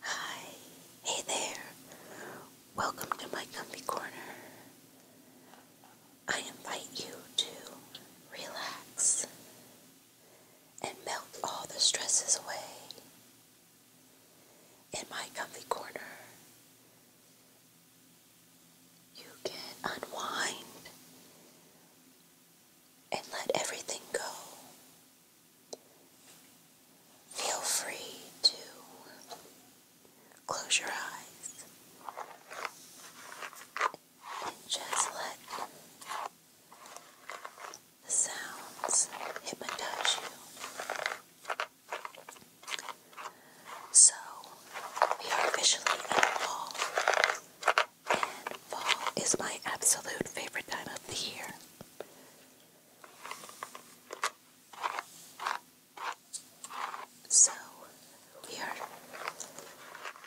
Hi, hey there. Welcome to my comfy corner. I invite you to relax and melt all the stresses away. In my comfy corner, you can unwind and let everything go. Feel free to close your eyes and just let the sounds hypnotize you. So we are officially in fall, and fall is my absolute favorite time of the year. So we are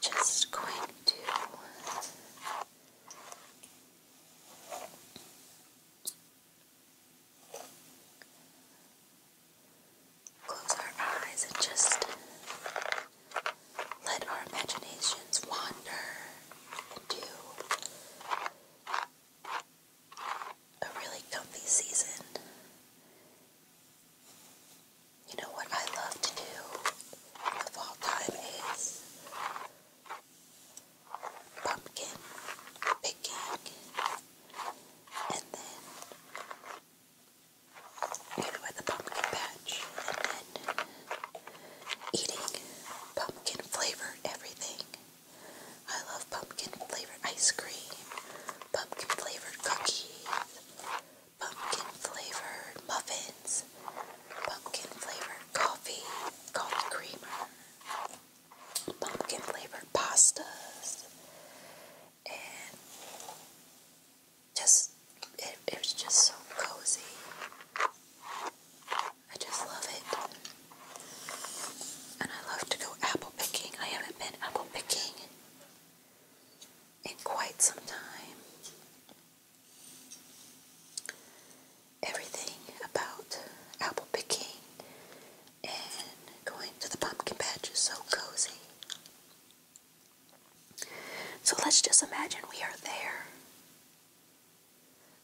just going to. Close our eyes and just let our imaginations wander into a really comfy season. You know what I love to do in the time is pumpkin picking and then kind of with pumpkin patch, and then eating pumpkin flavored everything. I love pumpkin flavored ice cream, pumpkin flavored cookies, pumpkin flavored muffins, pumpkin flavored coffee, coffee creamer pumpkin flavored pastas and just it, was just so cozy. I just love it. And I love to go apple picking. I haven't been apple picking in quite some time. Everything about apple picking and going to the pumpkin patch is so cozy. So let's just imagine we are there.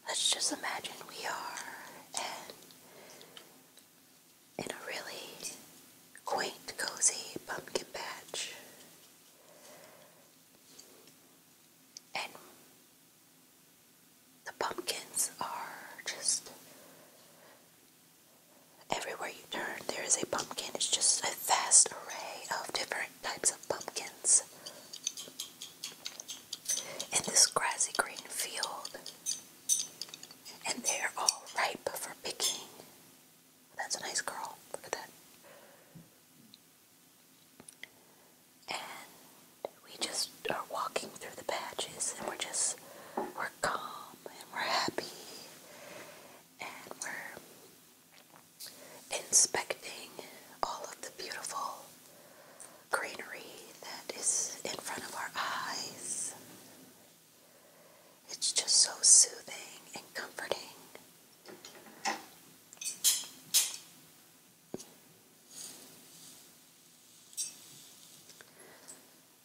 Let's just imagine we are in, a really quaint, cozy pumpkin patch. And the pumpkins are just everywhere you turn, there is a pumpkin. It's just a vast array of different types of pumpkins in this grassy green field, and they're all ripe for picking. That's a nice girl. Look at that. And we just are walking through the patches and we're just we're we're calm and we're happy and we're inspecting all of the beautiful greenery that is in front of our eyes. It's just so soothing and comforting.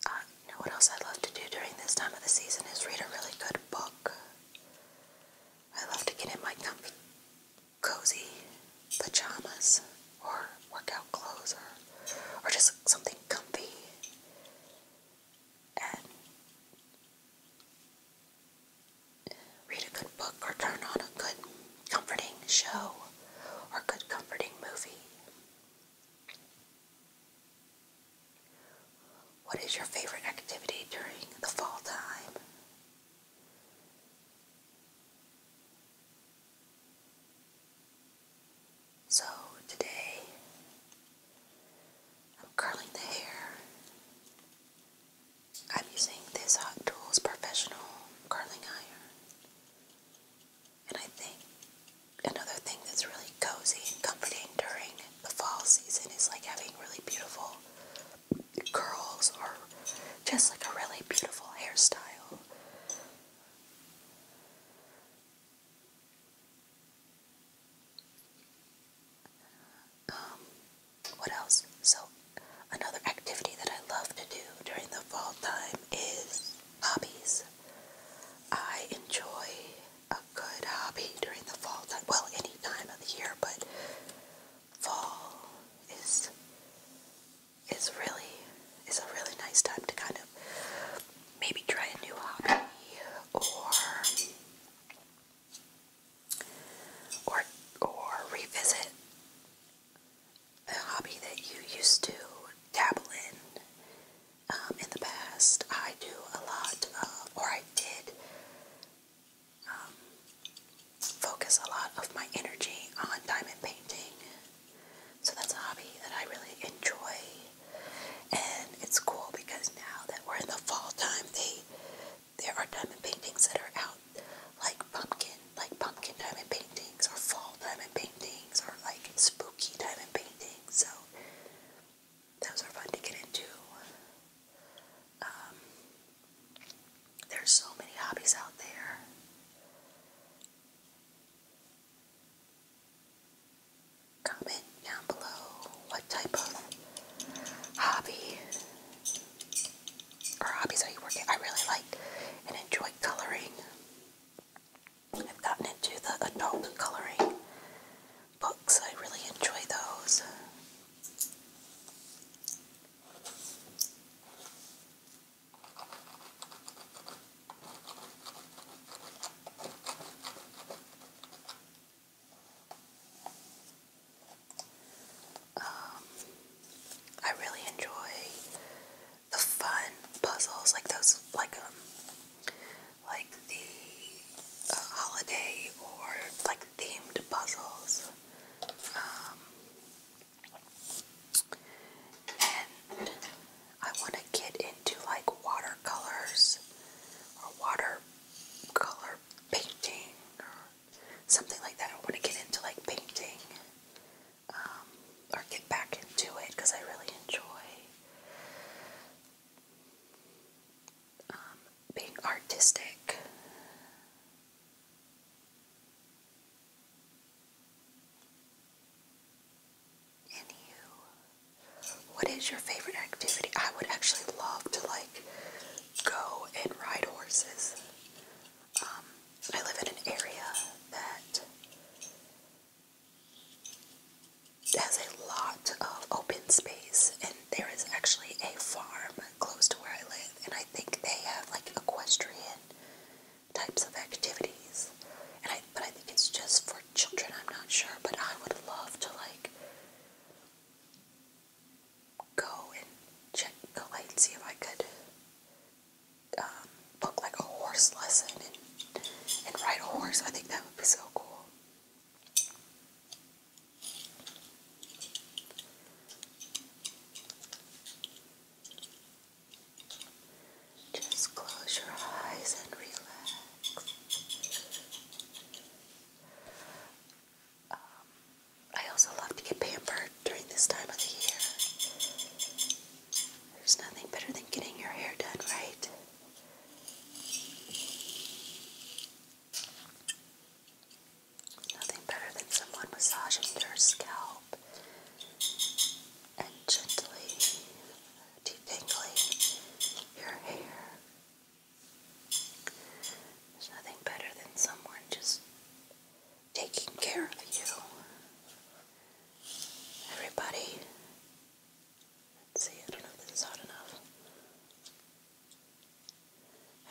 Uh, you know what else I love to do during this time of the season is read a really good book. I love to get in my comfy, cozy pajamas or workout clothes or, or just something comfy and read a good book or turn on a good comforting show or good comforting movie. What is your favorite activity during the fall time? So today I'm curling the hair. I'm using this Hot Tools Professional Curling Iron. And I think another thing that's really cozy and comforting during the fall season is like having really beautiful curls or just like a really beautiful hairstyle. Um, what else? So, another activity that I love to do during the fall time is hobbies. I enjoy a good hobby during the fall time. Well, any time of the year, but fall is is really is a really nice time to kind of maybe try a new hobby or or or revisit a hobby that you used to dabble in um, in the past. I do a lot of, uh, or I did um, focus a lot of my energy on diamond painting. So that's a hobby that I really enjoy. And it's cool because now that we're in the fall time, they there are diamond paintings that are out like pumpkin like pumpkin diamond paintings or fall diamond paintings or like spooky diamond paintings. So those are fun to get into. Um, there's so many hobbies out there. Comment down below what type of hobby or hobbies are you working? I really like and enjoy coloring. I've gotten into the adult coloring books. I really enjoy those. Um, I really enjoy the fun puzzles, like those, like um, like the uh, holiday or like themed puzzles. Um, and I want to get into like watercolors or watercolor painting or something like that. I want to get into like painting. Um, or get back into it because I really enjoy um, being artistic. And you, what is your favorite activity? I would actually love to like go and ride horses. Um, I live in an area that has a lot of open space, and there is actually a farm close to where I live, and I think they have like equestrian types of activities. And I, but I think it's just for children. I'm not sure, but I would love to like go and check, the go and see if I could um, book like a horse lesson and, ride a horse. I think that would be so cool. Just close your eyes and relax. Um, I also love to get pampered during this time of the year. There's nothing better than getting your hair done right. Nothing better than someone massaging your scalp and gently detangling your hair. There's nothing better than someone just taking care of you. Everybody, see, I don't know if this is hot enough.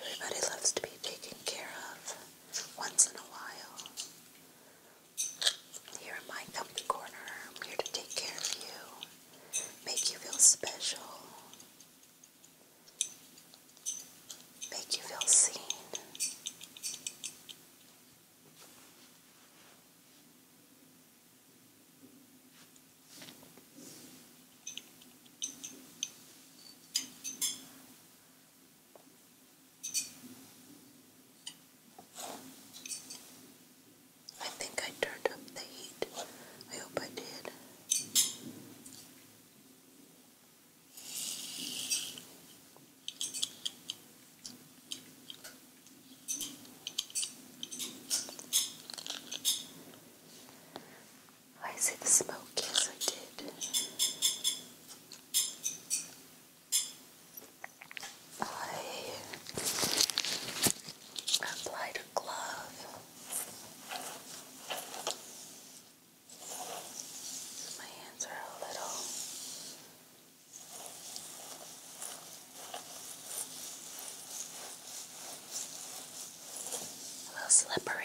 Everybody loves to be taken care of once in a while. Here in my comfy corner, I'm here to take care of you, make you feel special, make you feel seen. I think I turned up the heat. I hope I did. I see the smoke, yes, I did. I applied a glove. My hands are a little a little slippery.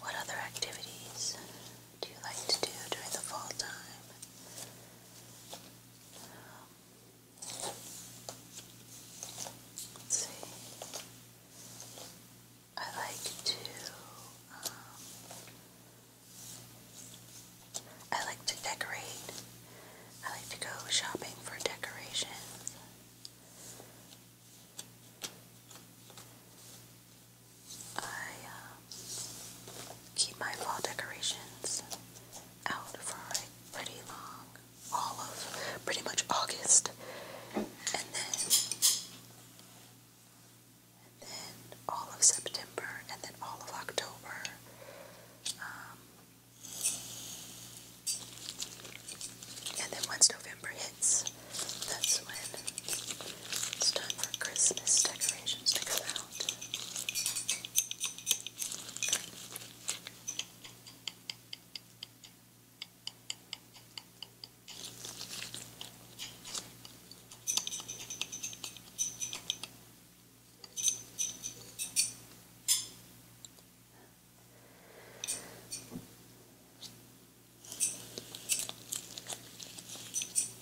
What other activities do you like to do during the fall time? let's see. I like to. Um, I like to decorate. I like to go shopping for decorations. I uh, keep my fall decorations out for pretty long, all of pretty much August, and then all of September, and then all of October. Um, and then once November hits, that's when it's time for Christmas decorations to come out.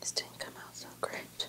This didn't come out so great.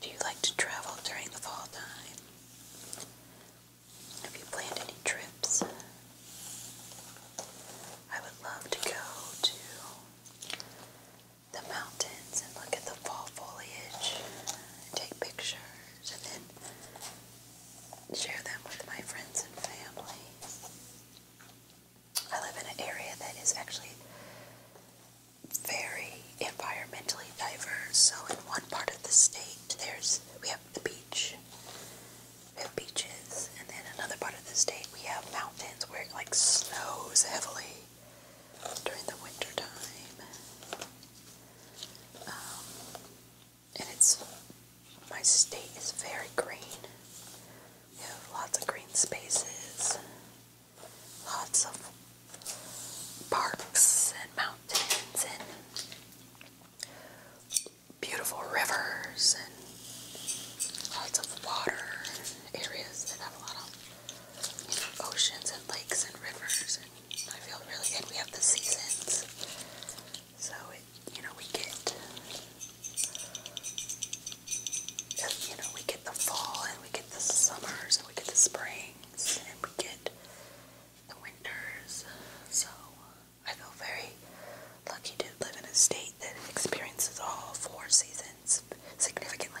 Do you like to travel during the fall time? Have you planned any trips? I would love to go to the mountains and look at the fall foliage take pictures and then share them with my friends and family. I live in an area that is actually very environmentally diverse. So in one part of the state, there's we have the beach, we have beaches, and then another part of the state we have mountains where it like snows heavily during the winter time. Um, and it's my state is very green. We have lots of green spaces lots of parks and mountains and beautiful rivers and lots of water areas that have a lot of oceans and lakes and rivers and I feel really good. We have the seasons. So you know, we get you know, we get the fall and we get the summers and we get the spring things and we get the winters. So uh, I feel very lucky to live in a state that experiences all four seasons significantly.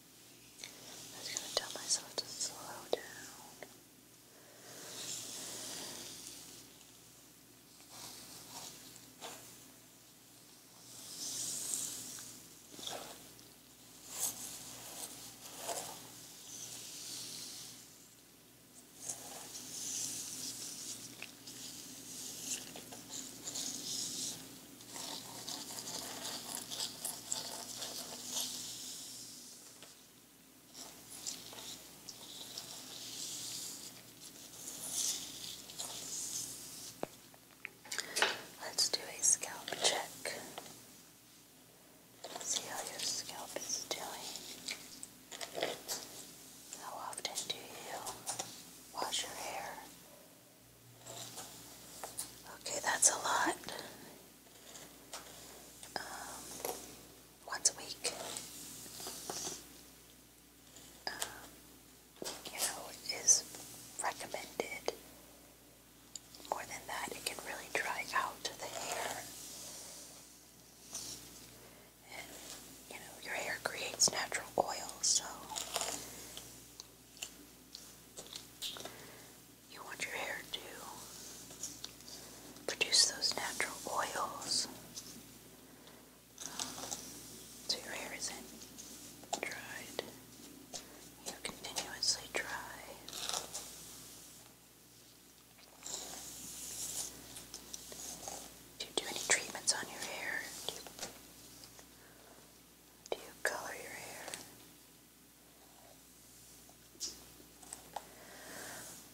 I was going to tell myself to slow down. Let's do a scalp check. See how your scalp is doing. How often do you wash your hair? Okay, that's a lot. Um, once a week. Um, you know, is recommended. More than that, it can really dry out the hair. And, you know, your hair creates natural oil, so you want your hair to produce those natural oils so your hair isn't dried. you continuously dry. Do you do any treatments on your hair? Do you color your hair?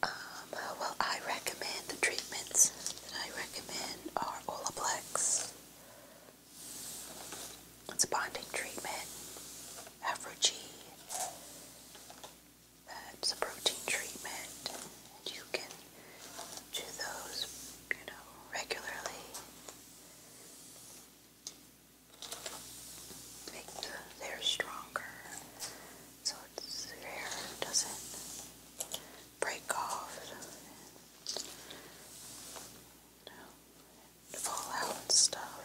Um, well, I recommend the treatments that I recommend are Olaplex. It's a bonding treatment. Afro That's a protein treatment. You can do those, you know, regularly make the hair stronger so its hair doesn't break off fall out and stuff.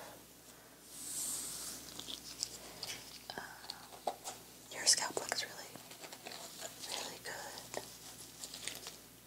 Uh, your scalp looks really, really good.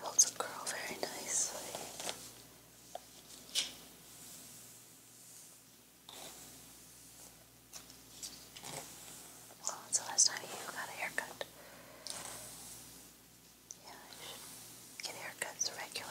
Holds a curl very nicely. Well, it's the last time you got a haircut. Yeah, I should get haircuts regularly.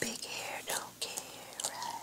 Big hair don't care, right?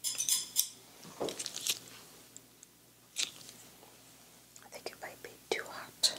I think it might be too hot.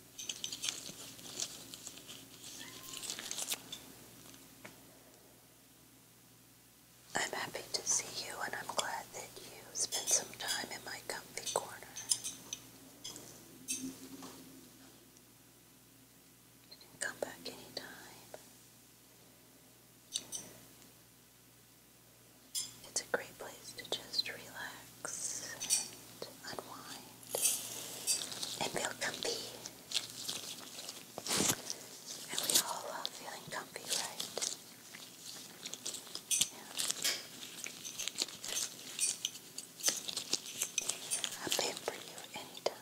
I'm happy to see you, and I'm glad that you spent some time in my comfy corner. You can come back anytime. It's a great place to just relax relax and unwind and feel comfy. And we all love feeling comfy, right? I'll pay for you anytime.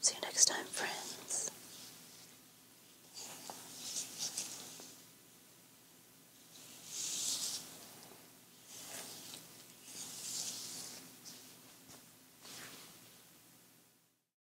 See you next time, friends.